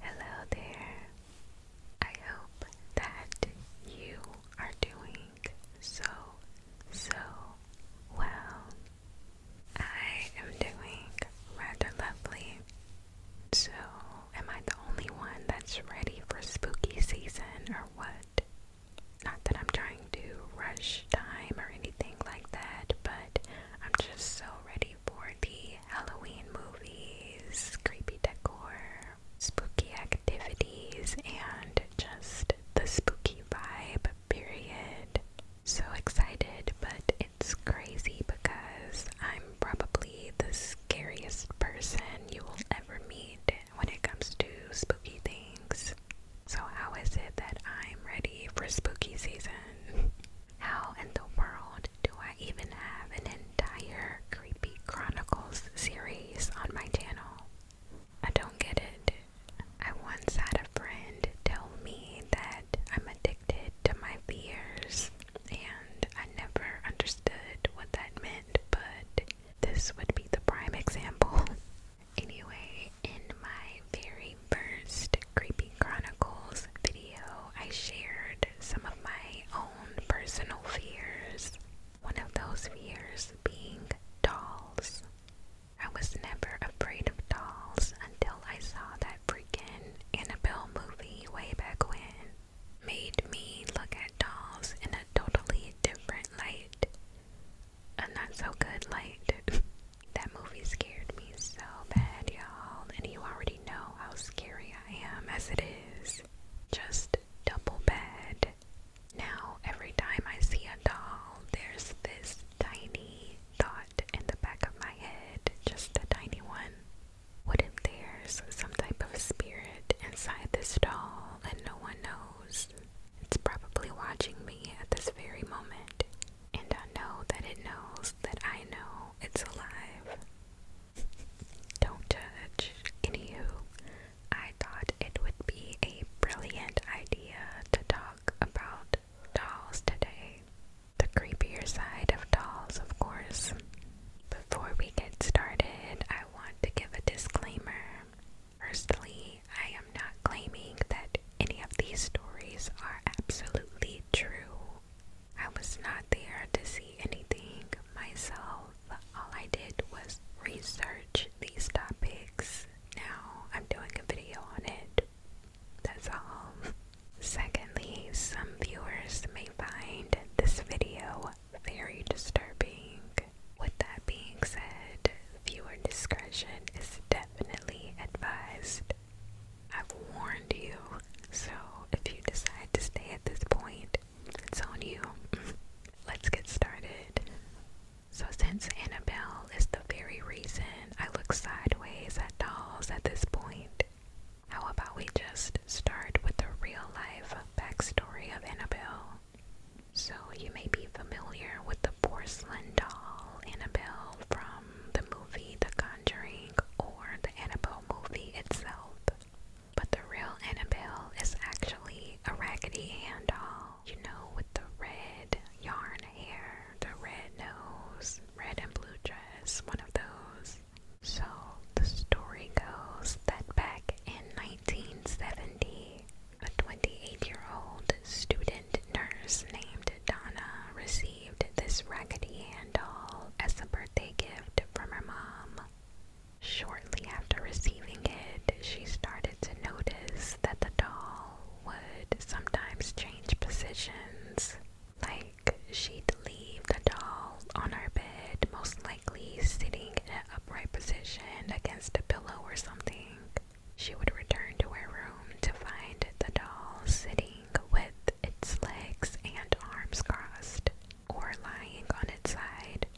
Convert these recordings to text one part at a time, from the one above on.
Hello there. I hope that you are doing so, so well. I am doing rather lovely. So, am I the only one that's ready for spooky season or what? Not that I'm trying to rush time or anything like that, but I'm just so ready for the Halloween movies, creepy decor, spooky activities, and just the spooky vibe, period. So excited, but it's crazy because I'm probably the scariest person you will ever meet when it comes to spooky things. So, how is it that I'm ready for spooky season? How in the world do I even have an entire Creepy Chronicles series on my channel? I don't get it. I once had a friend tell me that I'm addicted to my fears, and I never understood what that meant, but this would be the prime example. Anyway, in my very first Creepy Chronicles video, I shared some of my own personal fears. One of those fears being dolls. I was never afraid of dolls until I saw that freaking Annabelle movie way back when. Made me look at dolls in a totally different light. A not so good light. That movie scared me so bad, y'all, and you already know how scary I am as it is. Just double bed. Now, every time I see a doll, there's this tiny thought in the back of my head, just a tiny one. What if there's some type of spirit inside this doll and no one knows? It's probably watching me at this very moment and I know that it knows that I know it's alive. Don't judge. Anywho, I thought it would be a brilliant idea to talk about dolls today. The creepier side of dolls, of course. Before we get started, I want to give a disclaimer. Firstly, I am not claiming that any of these stories are absolutely true. I was not there to see anything myself. All I did was research these topics. Now I'm doing a video on it. That's all. Secondly, some viewers may find this video very disturbing. With that being said, viewer discretion is definitely advised. I've warned you, so if you decide to stay at this point, it's on you. Let's get started. So, since Annabelle is the very reason I look sideways at dolls at this point, how about we just start with the real life backstory of Annabelle? So, you may be familiar with the porcelain doll Annabelle from the movie The Conjuring or the Annabelle movie itself. But the real Annabelle is actually a Raggedy Ann doll, you know, with the red yarn hair, the red nose, red and blue dress, one of those. So the story goes that back in 1970, a 28 year old student attendant nurse named Donna received this raggedy Ann doll as a birthday gift from her mom. Shortly after receiving it, she started to notice that the doll would sometimes change positions. Like, she'd leave the doll on her bed, most likely sitting in an upright position against a pillow or something. She would return to her room to find the doll sitting with its legs and arms crossed or lying on its side.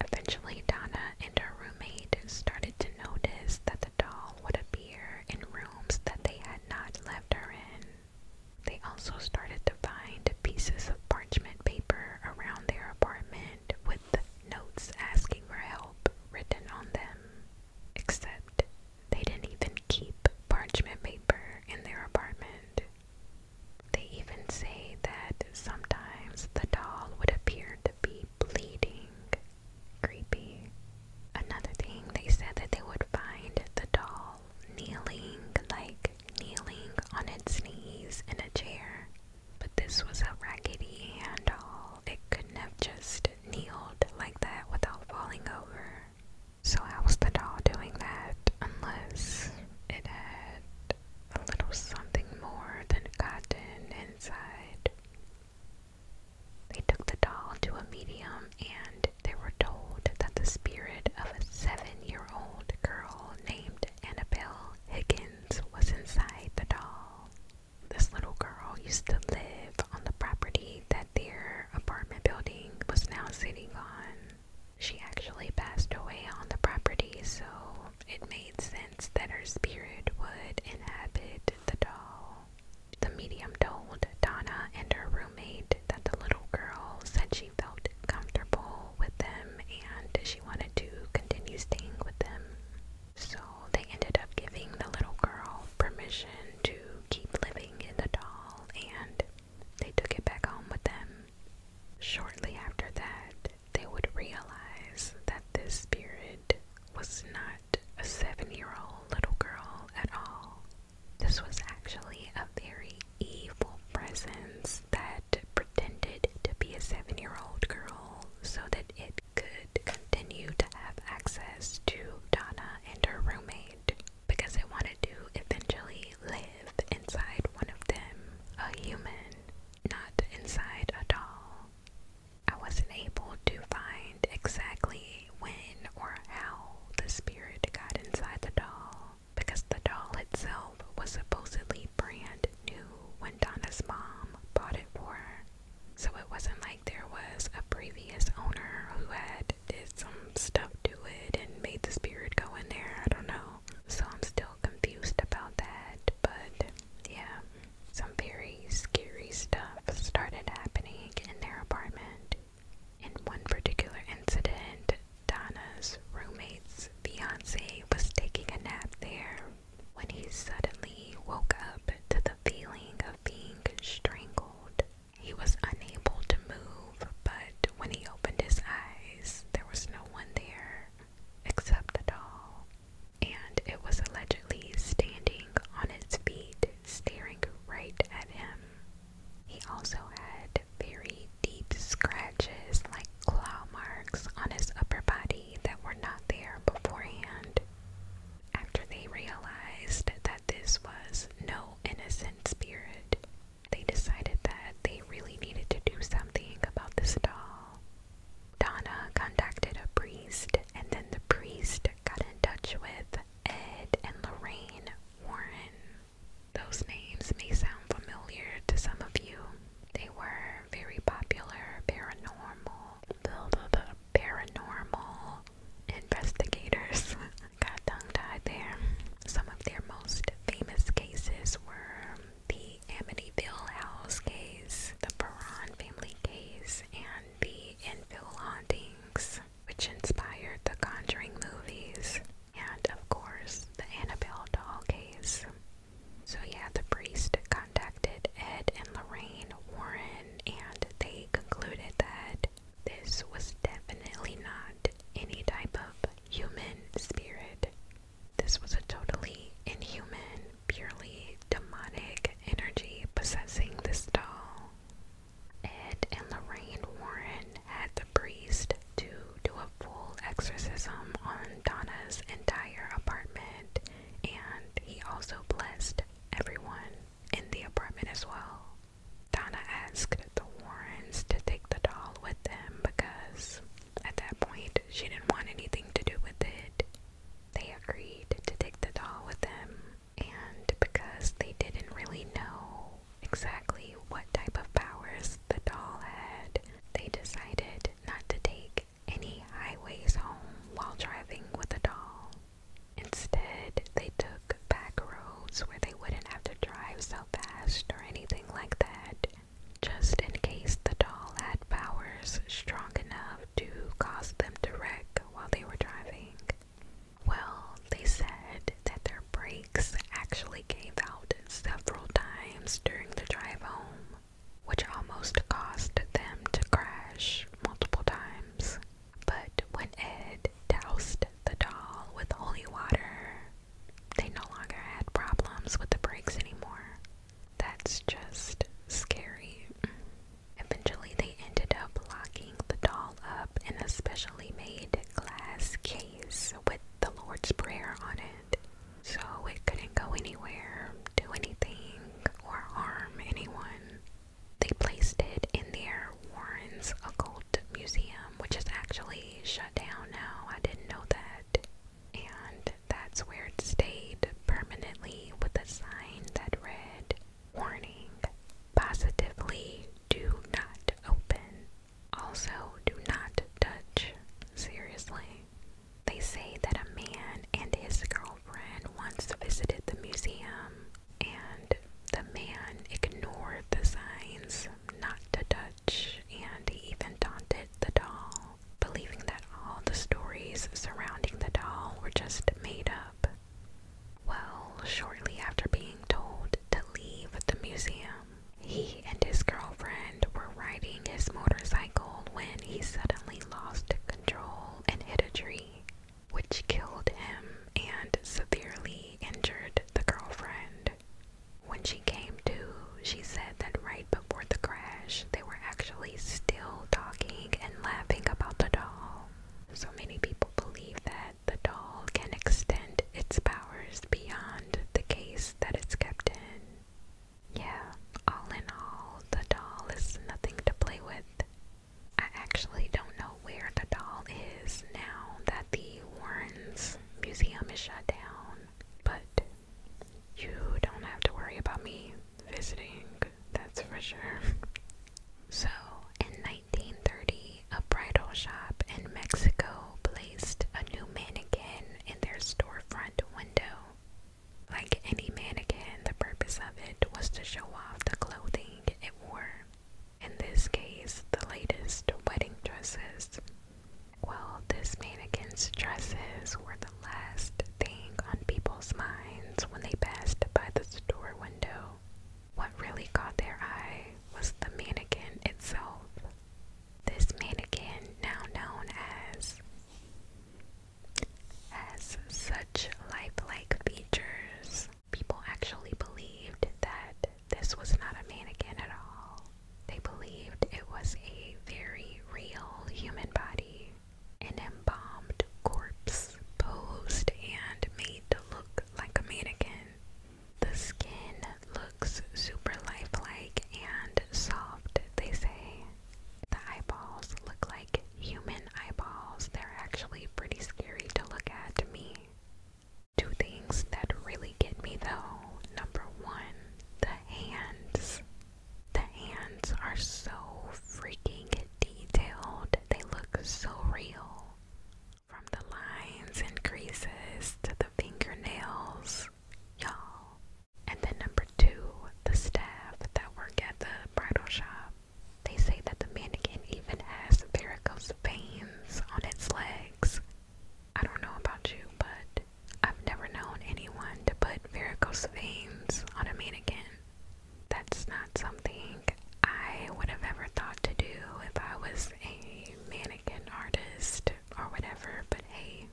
Eventually, Donna and her roommate started to notice that the doll would appear in rooms that they had not left her in. They also started to find pieces of parchment paper around their apartment with notes asking for help written on them. Except they didn't even keep parchment paper in their apartment. They even say that sometimes the doll would appear to be bleeding. Creepy. Another thing, they said that they would find the doll kneeling, like kneeling on its knees in a chair. But this was a Raggedy Ann doll, it couldn't have just kneeled like that without falling over. So, how was the doll doing that unless it had a little something more than cotton inside? They took the doll to a medium and they were told that the spirit of a seven year old girl named Annabelle Higgins was inside the doll this little girl used to live on the property that their apartment building was now sitting on. She actually passed away on the property, so it made sense that her spirit would inhabit the doll. The medium told Donna and her roommate that the little girl said she felt comfortable with them and she wanted to continue staying with them. So they ended up giving the little girl permission to keep living in the doll and they took it back home with them. Shortly after that, they would realize that this spirit was not a seven year old little girl at all. This was actually a very evil presence that pretended to be a seven year old girl so that it could continue to have access to Donna and her roommate because I wanted to eventually live inside one of them, a human, not inside a doll. I wasn't able to find exactly when or how the spirit got inside the doll because the doll itself was supposedly brand new when Donna's mom bought it for her. So it wasn't like there was a previous owner who had did some stuff to it and made the spirit go in there. I don't know. So I'm still confused about that. But yeah, some very scary stuff started happening in their apartment. In one particular incident, Donna's roommate's fiance was taking a nap there when he suddenly woke up to the feeling of being strangled. He was unable to move, but when he opened his eyes, there was no one there except the doll, and it was allegedly standing on its feet, staring right at him. He also had very deep scratches, like claw marks, on his upper body that were not there beforehand. After they realized that this was no innocent spirit, they decided that they really needed to do something about this doll. Donna contacted a priest, and then the priest got in touch with Ed and Lorraine Warren. Those names may sound familiar to some of you. They were very popular paranormal paranormal investigators got tongue tied there. Some of their most famous cases were the Amityville House case, the Perron family case, and the Enfield hauntings, which inspired the Conjuring movies, and of course the Annabelle doll case. So, yeah, the priest got contacted Ed and Lorraine Warren, and they concluded that this was definitely not any type of human spirit. This was a totally inhuman, purely demonic energy possessing this doll. Ed and Lorraine Warren had the priest to do a full exorcism on Donna's entire apartment, and he also blessed everyone in the apartment as well. Donna asked the Warrens to take the doll with them because at that point she didn't want anything to do with it. They agreed to take the doll with them, and because they didn't really know exactly what type of powers the doll had, they decided not to take any highways home while driving with a doll. Instead, they took back roads where they wouldn't have to drive so fast or anything like that, just in case the doll had powers strong enough to cause them to wreck while they were driving. Well, they said that their brakes actually gave out several times during the drive home, which almost caused them to crash multiple times. But when Ed doused the doll with holy water, they no longer had problems with the brakes anymore. That's just scary. Eventually, they ended up locking the doll up in a specially made glass case with the Lord's Prayer on it. So it couldn't go anywhere, do anything, or harm anyone. They placed it in their Warren's Occult Museum, which is actually shut down now. I didn't know that. And that's where it stayed permanently with a sign that read, Warning, positively do not open. Also, do not touch. Seriously. They say that a man and his girlfriend once visited the museum, and the man ignored the signs not to touch, and even taunted the doll, believing that all the stories surrounding the doll were just made up. Well, shortly after being told to leave the museum, he and his girlfriend were riding his motorcycle when he suddenly lost control and hit a tree, which killed him and severely injured the girlfriend. When she came to, she said that right before the crash, they were actually still talking and laughing about the doll. So many people believe that the doll can extend its powers beyond the case that it's kept in. Yeah, all in all, the doll is nothing to play with. I actually don't know where the doll is now that the Warren's Museum is shut down, but you don't have to worry about me visiting, that's for sure. so, in 1930, a bridal shop in Mexico placed a new mannequin in their storefront window. Like any mannequin, the purpose of it was to show off the clothing it wore. In this case, the latest wedding dresses. Well, this mannequin's dresses were the last thing on people's minds when they passed by the store window. What really caught their eye was the mannequin itself. This mannequin, now known as has such lifelike features. People actually believed that this was not a mannequin at all. They believed it was a very real human body, an embalmed corpse posed and made to look like a mannequin. The skin looks super lifelike and soft, they say. The eyeballs look like human eyeballs. They're actually pretty scary to look at to me. Two things that really get me though. Number one, the hands. The hands are so freaking detailed. They look so real. From the lines and creases to the fingernails. Y'all, and then number two, the staff that work at the bridal shop. They say that the mannequin even has varicose veins on its legs. I don't know about you, but I've never known anyone to put varicose veins on a mannequin. That's not something I would have ever thought to do if I was a mannequin artist or whatever, but hey,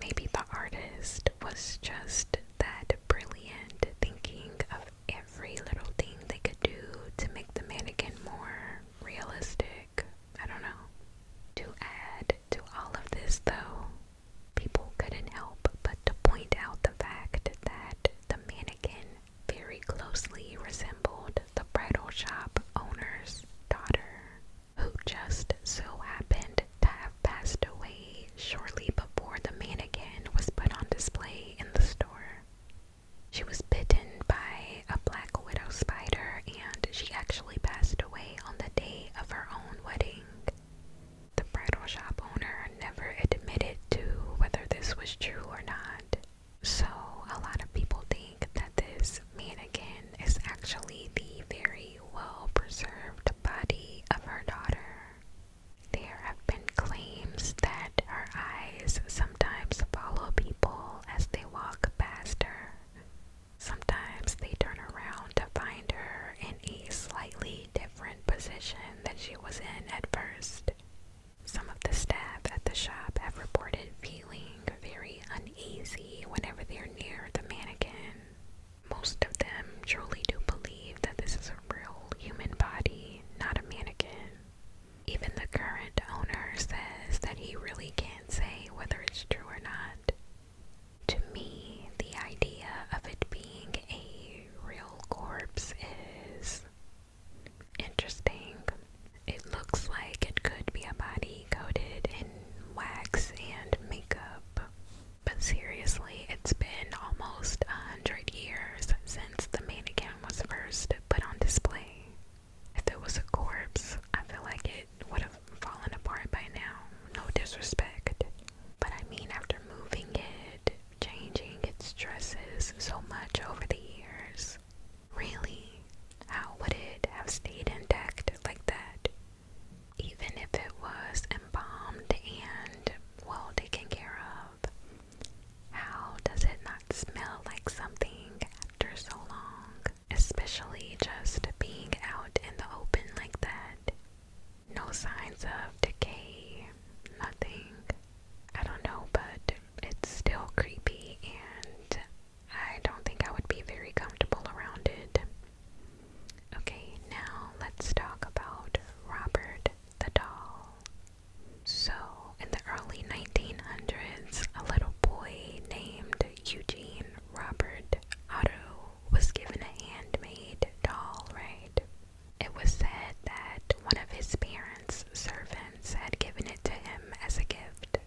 Maybe the artist was just that brilliant, thinking of every little thing they could do to make the mannequin more realistic. I don't know. To add to all of this, though, people couldn't help but to point out the fact that the mannequin very closely resembled the bridal shop owner's daughter, who just so happened to have passed away shortly before the mannequin was put on display in the store. She was bitten by a black widow spider and she actually passed away on the day of her own wedding. The bridal shop owner never admitted to whether this was true or not, so a lot of people think that this mannequin is actually the very well preserved body of her daughter. There have been claims that her eyes sometimes follow people as they walk past her. Sometimes they turn around to find her in a slightly different position than she was in at first. Some of the staff at the shop have reported feeling very uneasy whenever they're near the mannequin. Most of them truly do believe that this is a real human body, not a mannequin. Even the current owner says that he really can't say whether it's true or not. To me, the idea of it being a real corpse is interesting. It looks like it could be a body coated in wax and makeup. But seriously, it's been almost a hundred years since the main account was first put on display. If it was a corpse, I feel like it would have fallen apart by now. No disrespect. But I mean, after moving it, changing its dresses so much over the years, really, how would it have stayed intact like that? even if it was embalmed and well taken care of. How does it not smell like something after so long? Especially just being out in the open like that. No signs of decay, nothing. I don't know, but it's still creepy and I don't think I would be very comfortable around it. Okay, now let's talk about Robert the Doll. So, in the early 1900s, a little boy named Eugene Robert Otto was given a handmade doll, right? It was said that one of his parents' servants had given it to him as a gift.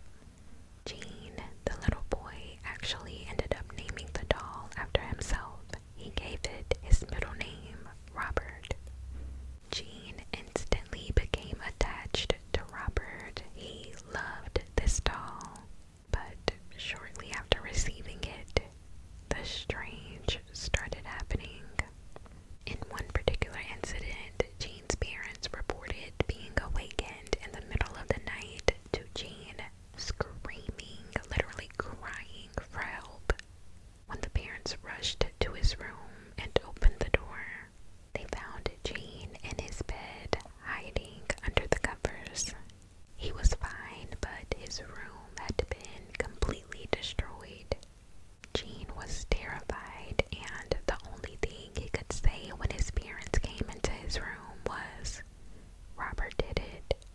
Jean, the little boy, actually ended up naming the doll after himself. He gave it his middle name, Robert. Jean instantly became attached to Robert. He loved this doll, but shortly after receiving it, the strange started happening. In one particular incident, Jean's parents reported being awakened in the middle of the night to Jean screaming, literally crying for help. When the parents rushed to his room and opened the door, they found Jean in his bed, hiding under the covers. He was fine, but his room had been completely destroyed. Jean was terrified, and the only thing he could say when his parents came into his room was, Robert did it.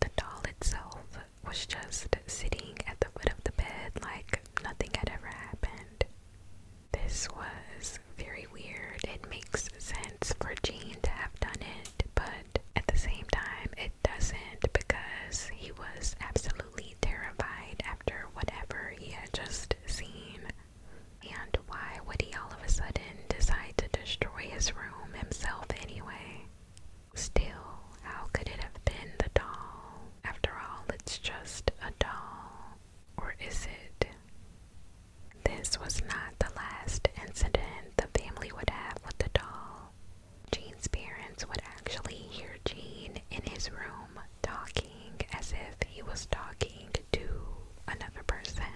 The doll itself was just sitting at the foot of the bed like nothing had ever happened. This was very weird. It makes sense for Gene to have done it, but at the same time, it doesn't because he was absolutely terrified after whatever he had just seen. And why would he all of a sudden decide to destroy his room himself anyway? Still, how could it have been the doll? After all, it's just a doll. Or is it? This was not the last incident the family would have with the doll. Jean's parents would actually hear Jean in his room talking as if he was talking to another person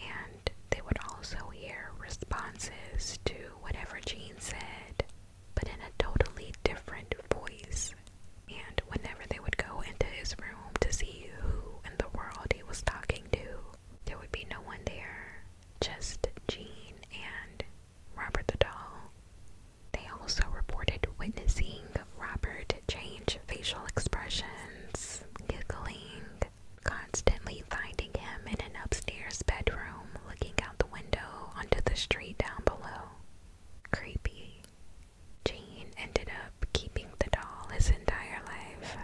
and they would also hear responses to whatever Jean said, but in a totally different voice. And whenever they would go into his room to see who in the world he was talking to, there would be no one there, just Jean and Robert the doll. They also reported witnessing Robert change facial expressions, giggling, constantly finding him in an upstairs bedroom looking out the window onto the street down below. Creepy. Jean ended up keeping the doll his entire life.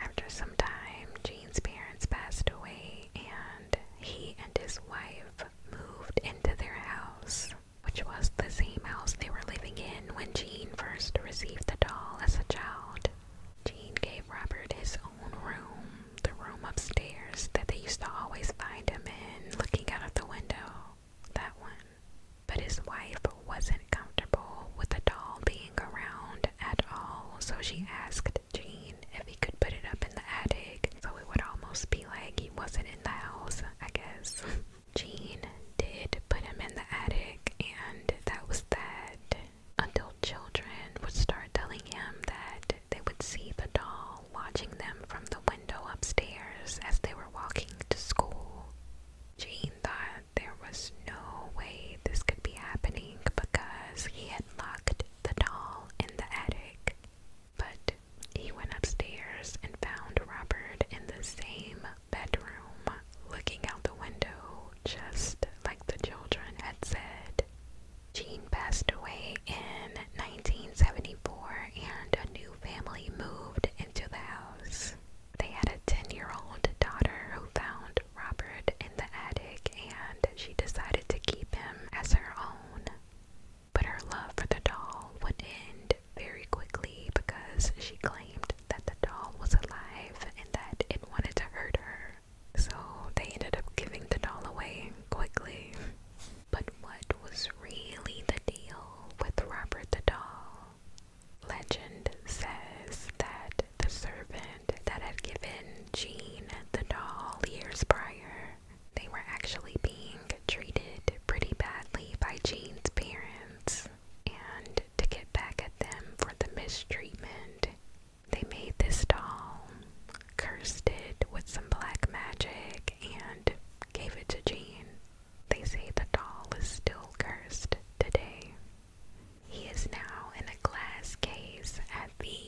After some time, Jean's parents passed away and he and his wife moved into their house, which was the same house they were living in when Jean first received the doll as a child. Jean gave Robert his own room, the room upstairs that they used to always find him in, looking out of the window. That one. But his wife wasn't comfortable with the doll being around at all, so she asked Jean if he could put it up in the attic, so it would almost be like he wasn't in the house, I guess. Jean did put him in the attic, and that was that. Until children would start telling him that they would see the doll watching them from the window upstairs as they were walking to school. Jean thought there was no way this could be happening because he had locked the doll in the attic. But he went upstairs and found Robert in the same bedroom, looking out the window, just like the children had said. Jean passed away in 1974 and a new family moved into the house. They had a 10 year old daughter who found Robert in the attic and she decided to keep him as her own. But her love for the doll would end very quickly because she claimed claimed that the doll was alive and that it wanted to hurt her. So they ended up giving the doll away quickly. But what was really the deal with Robert the doll? Legend says that the servant that had given Jean the doll years prior, they were actually being treated pretty badly by Jean's parents. And to get back at them for the mistreatment. They made this doll, cursed it with some black magic, and gave it to Jean. They say the doll is still cursed today. He is now in a glass case at the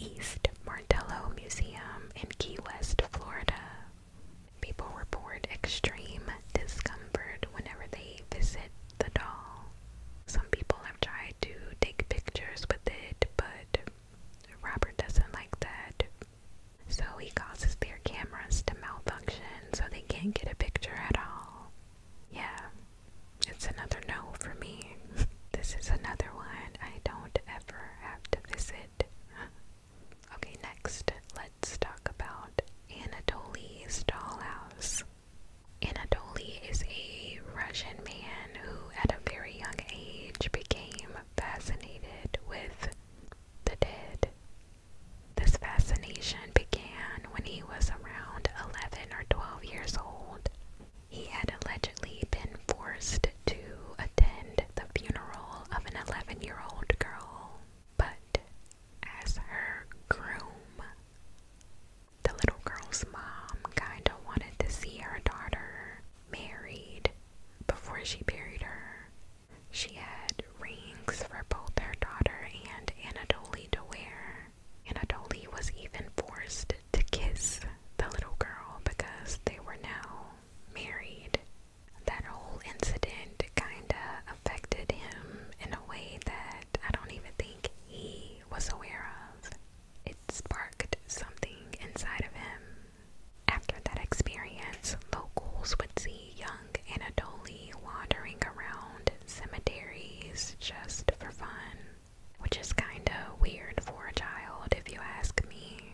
East Martello Museum in Key West, Florida. People report extreme discomfort whenever they visit the doll. Some people have tried to take pictures with it, but Robert doesn't like that. So he causes their cameras to malfunction so they can't get a picture at all. Yeah, it's another no for me. this is another one I don't ever have to visit. okay, next, let's talk about Anatoly Dollhouse. Anatoly is a Russian man who, at a very young age, became fascinated with the dead. This fascination began when he was around 11 or 12 years old. He had allegedly been forced to attend the funeral of an 11 year old girl, but as her groom. The little girl's mom kinda wanted to see her daughter married before she buried her. She had rings for both her daughter and Anatoly to wear. Anatoly was even forced to kiss the little girl because they were now married. That whole incident kinda affected him in a way that I don't even think he was aware of. It sparked something inside of him. After that experience, locals would see young Anatoly wandering around cemeteries just for fun, which is kinda weird for a child if you ask me.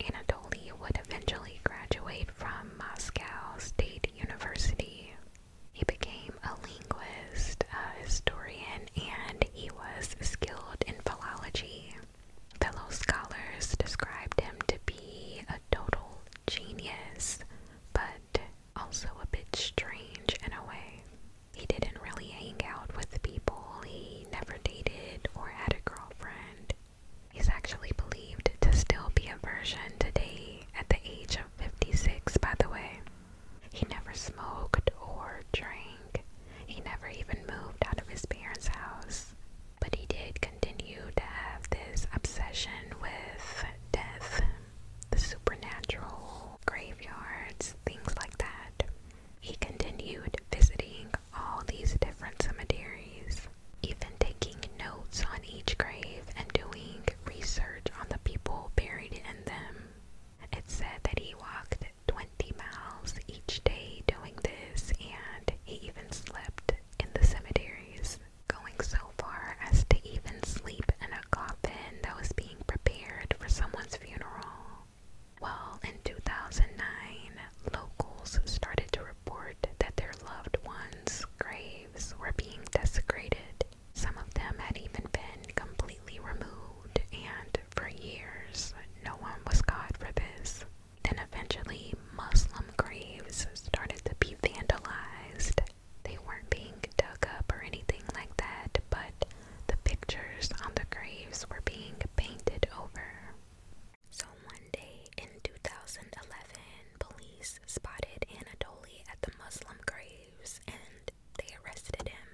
Anatoly would eventually graduate from Moscow State University he became a linguist, a historian, and he was skilled in philology. Fellow scholars described him to be a total genius, but also a bit strange in a way. He didn't really hang out with people, he never dated or had a girlfriend. He's actually believed to still be a version today at the age of 56, by the way. He never smoked or drank. He never even moved out of his parents' house. But he did continue to have this obsession with death, the supernatural, graveyards, things like that. He continued visiting all these different cemeteries even taking notes on each grave and doing research on the people buried in them. It's said that he walked 20 miles each day doing this, and he even slept in the cemeteries, going so far as to even sleep in a coffin that was being prepared for someone's funeral. Well, in 2009, locals started to that their loved ones' graves were being desecrated. Some of them had even been completely removed, and for years, no one was caught for this. Then eventually, Muslim graves started to be vandalized. They weren't being dug up or anything like that, but the pictures on the graves were being painted over. So, Monday in 2011, police spotted Anatoly at the Muslim graves and they arrested him,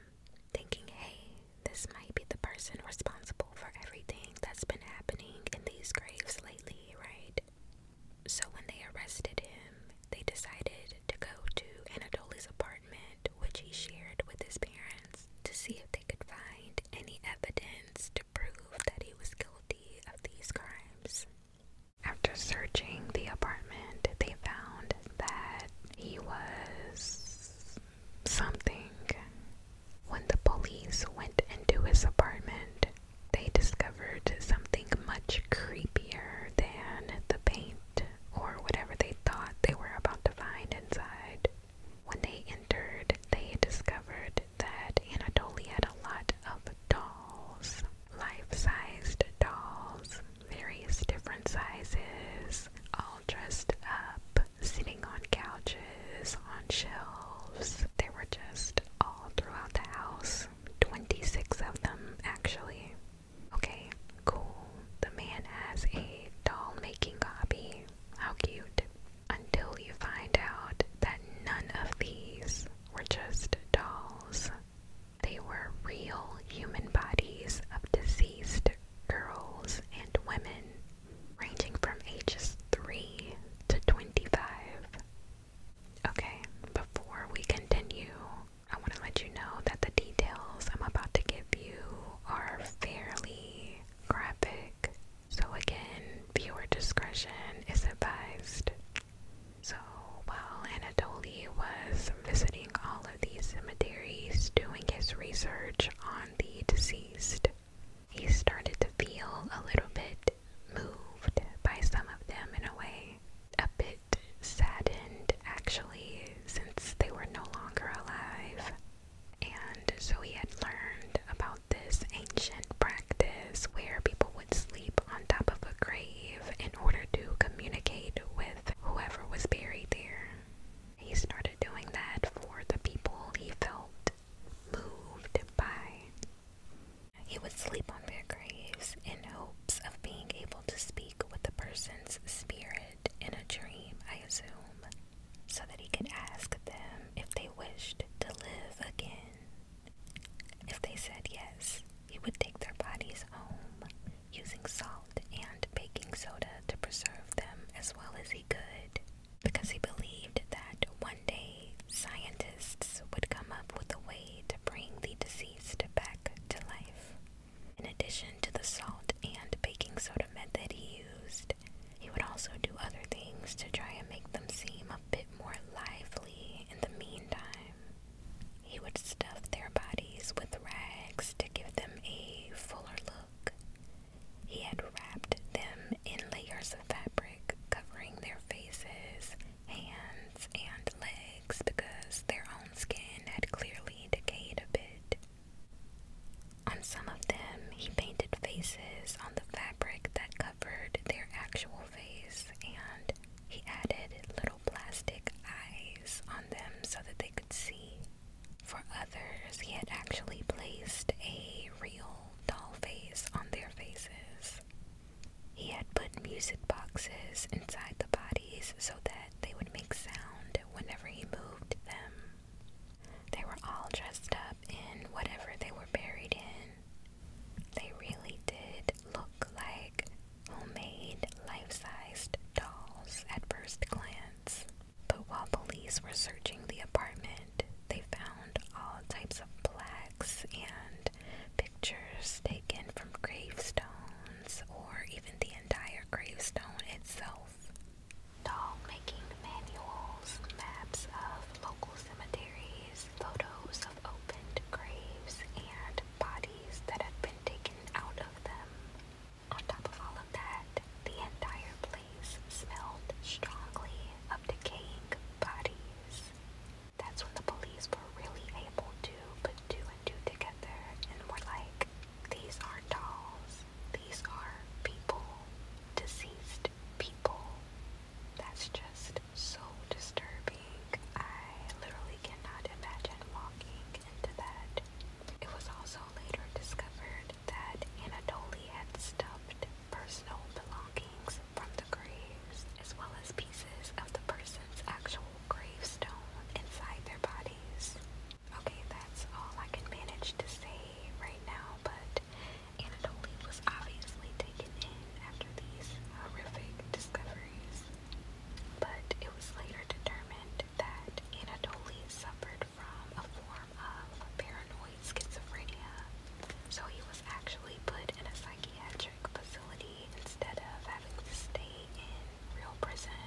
thinking, hey, this might be the person responsible for everything that's been happening in these graves lately, right? So when they arrested him, they decided to go to Anatoly's apartment, which he shared with his parents, to see if they could find any evidence to prove that he was guilty of these crimes. After searching the apartment, they found that he was something. When the police went into his apartment, they discovered something much creepier than the paint or whatever they thought they were about to find inside. When they entered, they discovered note that Anatoly had a lot of dolls, life-sized dolls, various different sizes, all dressed up, sitting on couches, on shelves. They were just all throughout the house. 26 of them, actually. Okay, cool. The man has a doll making hobby. How cute. Until you find out that none of these were just dolls. They were real human bodies of deceased girls and women, ranging from ages 3 to 25. Okay, before we continue, I want to let you know that the details I'm about to give you are fairly graphic. So, again, viewer discretion is advised. So while Anatoly was visiting all of these cemeteries doing his research on the deceased, he started to feel a little bit moved by some of them in a way, a bit saddened actually, since they were no longer alive. And so he had learned about this ancient practice where people would sleep on top of a grave in order to communicate with whoever was buried there. He started doing that for the people he felt moved by. He would sleep on their graves in hopes of being able to speak with the person's spirit in a dream, I assume, so that he could ask them if they wished to live again. If they said yes, he would take their bodies home, using salt and baking soda to preserve them as well as he could, because he believed that one day scientists would come up with a way to bring the deceased back to life. In addition to the salt and baking soda method he used, he would also do other things to try and make them seem a bit more lively in the meantime. He would stuff their bodies with rags to give them a fuller look. He had wrapped them in layers of fabric covering their faces, hands, and legs because their own skin had clearly decayed a bit. On some of them, he painted faces on the fabric that covered their actual face and he added little plastic eyes on them so that they could see. For others, he had actually placed a real doll face on their faces. He had put music boxes inside the bodies so that they would make sound whenever he moved them. They were all dressed up in whatever they were buried in, they really did look like homemade life-sized dolls at first glance. But while police were searching the apartment, they found all types of plaques and pictures taken from gravestones or even the entire gravestone itself. Doll making manuals, maps of local cemeteries, photos of opened graves and bodies that have been taken out of them. On top of all of that, the entire place smelled strongly of decaying bodies. That's when the police were really able to put two and two together and were like, these are dolls, these are people, deceased people. That's just so disturbing. I literally cannot imagine walking into that. It was also later discovered that Anatoly had stuffed personal belongings from the graves, as well as pieces of the person's actual gravestone inside their bodies. Okay, that's all I can manage to say right now, but night. was obviously taken in after these horrific discoveries, but it was later determined that Anatoly suffered from a form of paranoid schizophrenia, so he was actually put in a psychiatric facility instead of having to stay in real prison.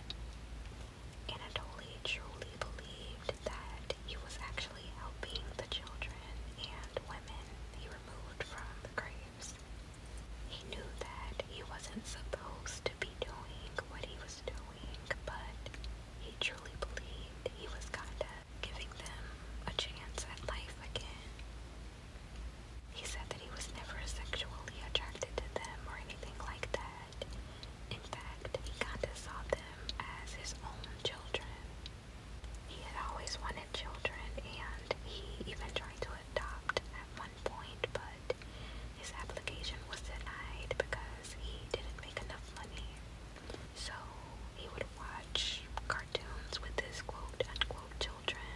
Anatoly truly believed that he was actually helping the children and women he removed from the graves. He knew that he wasn't supposed to be doing what he was doing, but he truly believed he was kinda giving them a chance at life again. He said that he was never sexually attracted to them or anything like that. In fact, he kinda saw them as his own children. He had always wanted children, and he even tried to adopt at one point, but his application was denied because he didn't make enough money. So he would watch cartoons with his quote unquote children,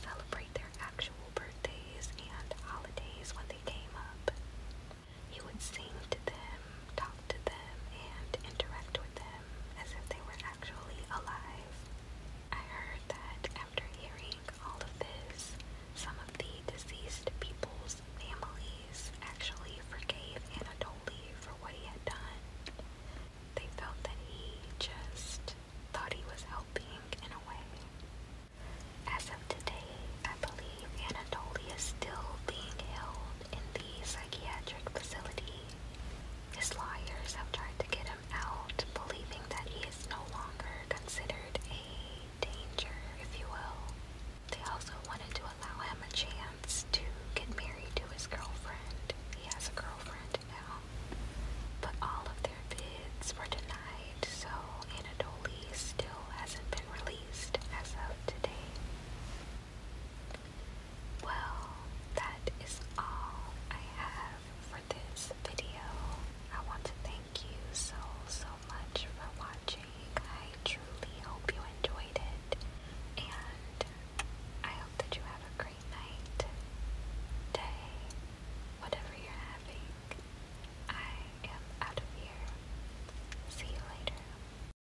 celebrate their actual birthdays and holidays when they came up. He would sing to them talk to them, and interact with them as if they were actually alive. I heard that after hearing all of this, some of the deceased people's families actually forgave Anatoly for what he had done. They felt that he just thought he was helping in a way. As of today, I believe Anatoly is still being held in the psychiatric facility. His lawyers have tried to get him out, believing that he is no longer considered a danger, if you will. They also wanted to allow him a chance to get married to his girlfriend. He has a girlfriend now. But all of their bids were denied, so Anatoly still hasn't been released as of today. Well, that is all I have for this video. I want to thank you so, so much for watching. I truly hope you enjoyed it. And I hope that you have a great night, day, whatever you're having. I am out of here. See you later.